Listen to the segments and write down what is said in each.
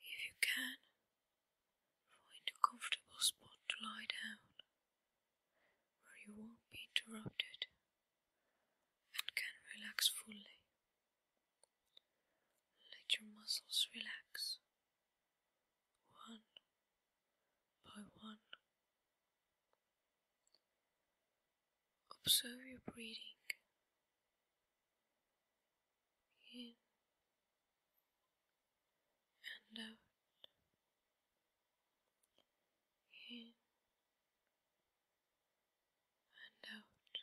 If you can, find a comfortable spot to lie down where you won't be interrupted and can relax fully. Let your muscles relax one by one. Observe your breathing in and out, in and out.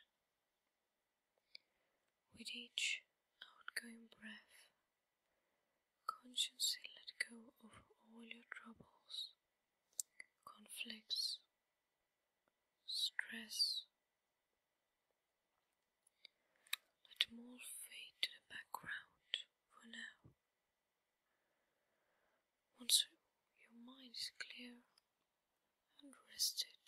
With each outgoing breath, consciously let go of all your troubles, conflicts, stress. Let them all fade to the background for now. Once your mind is clear and rested,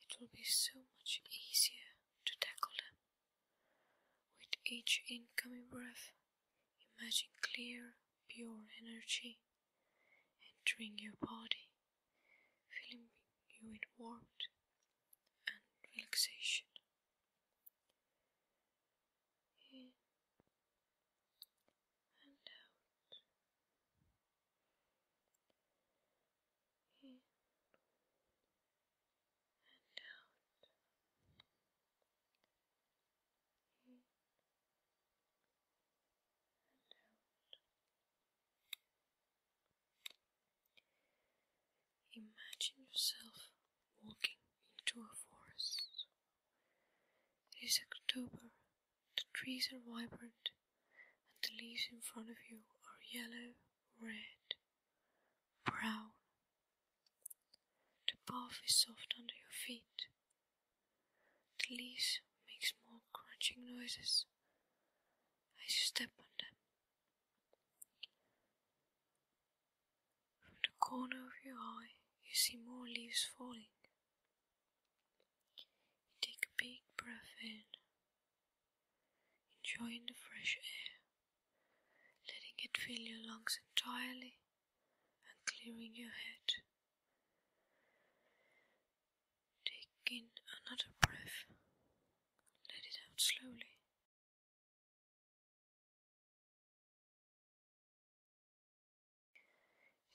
it will be so much easier to tackle them. With each incoming breath, imagine clear, pure energy entering your body filling you with warmth and relaxation. In and out. In and out. In Imagine yourself walking into a forest. It is October, the trees are vibrant, and the leaves in front of you are yellow, red, brown. The path is soft under your feet, the leaves make small crunching noises as you step on them. From the corner of your eye, you see more leaves falling. You take a big breath in, enjoying the fresh air, letting it fill your lungs entirely and clearing your head. Take in another breath, let it out slowly.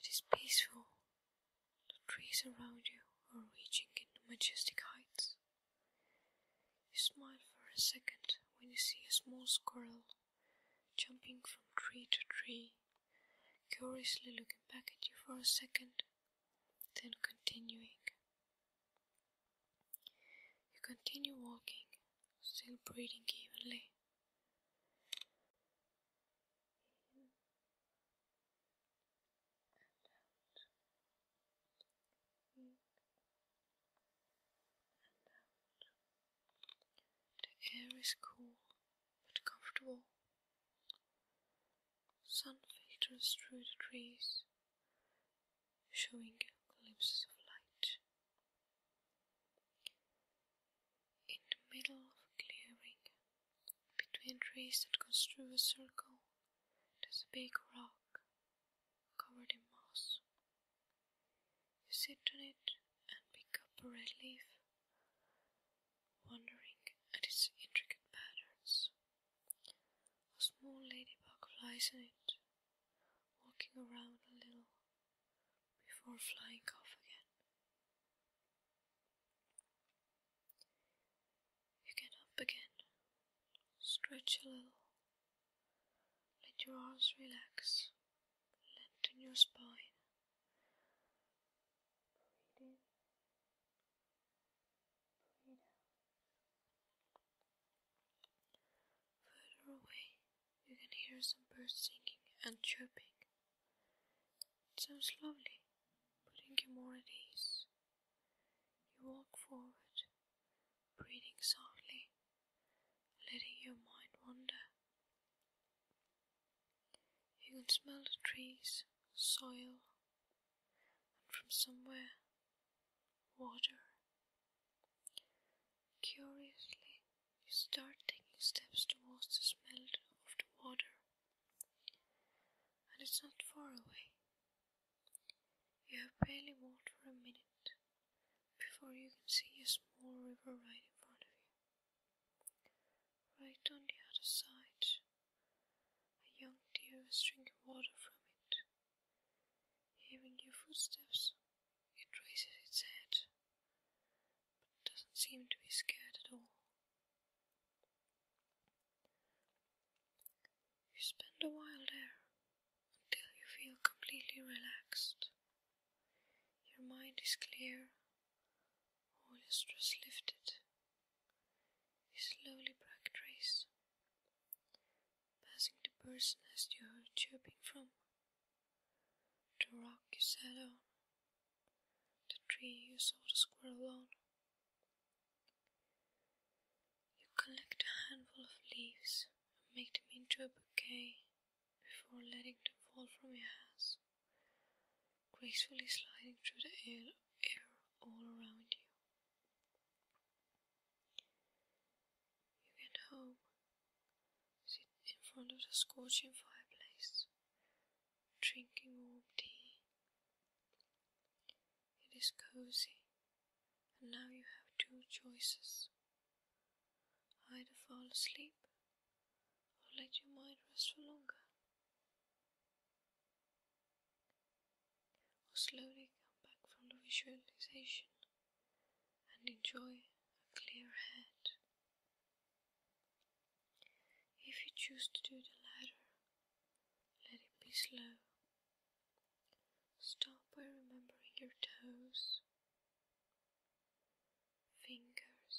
It is peaceful. The trees around you are reaching into majestic heights. You smile for a second when you see a small squirrel jumping from tree to tree curiously looking back at you for a second, then continuing. You continue walking, still breathing evenly. The air is cool but comfortable. Sun filters through the trees, showing glimpses of light. In the middle of a clearing, between trees that goes through a circle, there's a big rock covered in moss. You sit on it and pick up a red leaf, wondering at its intricate patterns. A small ladybug flies in it, walking around a little before flying off again. You get up again, stretch a little, let your arms relax led your spine. Breathe in, out. Further away, you can hear some birds singing and chirping. It sounds lovely, putting you more at ease. You walk forward, breathing softly, letting your mind wander. You can smell the trees, soil, and from somewhere, water. Curiously, you start taking steps towards the smell of the water, and it's not far away. You have barely walked for a minute before you can see a small river right in front of you. Right on the other side, a young deer is drinking water from it. Hearing your footsteps, it raises its head, but doesn't seem to be scared at all. You spend a while there until you feel completely relaxed. Your mind is clear, all your stress lifted. You slowly backtrace, passing the person as you heard chirping from, the rock you sat on, the tree you saw the squirrel on. You collect a handful of leaves and make them into a bouquet before letting them fall from your hands, gracefully sliding through the air, air all around you. You get home, sit in front of the scorching fireplace, drinking warm tea. It is cozy, and now you have two choices. Either fall asleep or let your mind rest for longer, or slowly come back from the visualization and enjoy a clear head. If you choose to do the latter, let it be slow. Stop by remembering your toes, fingers.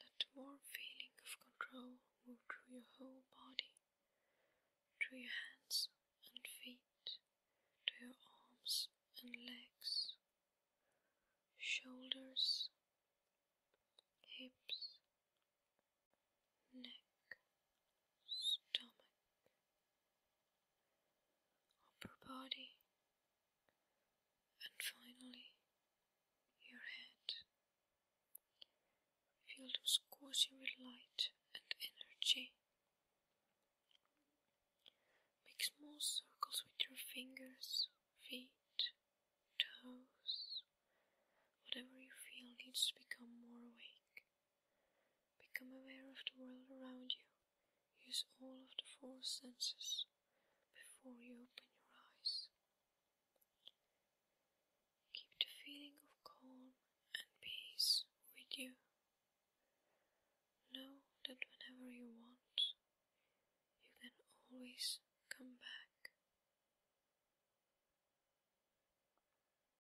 Let more feeling of control move through your whole body, through your hands and feet, through your arms and legs, shoulders, hips, neck, stomach, upper body, and finally your head. Feel those coursing with light and energy. Make small circles with your fingers, feet, toes, whatever you feel needs to become more awake. Become aware of the world around you. Use all of the four senses before you open your eyes. Keep the feeling of calm and peace with you. Know that whenever you want, you can always come back.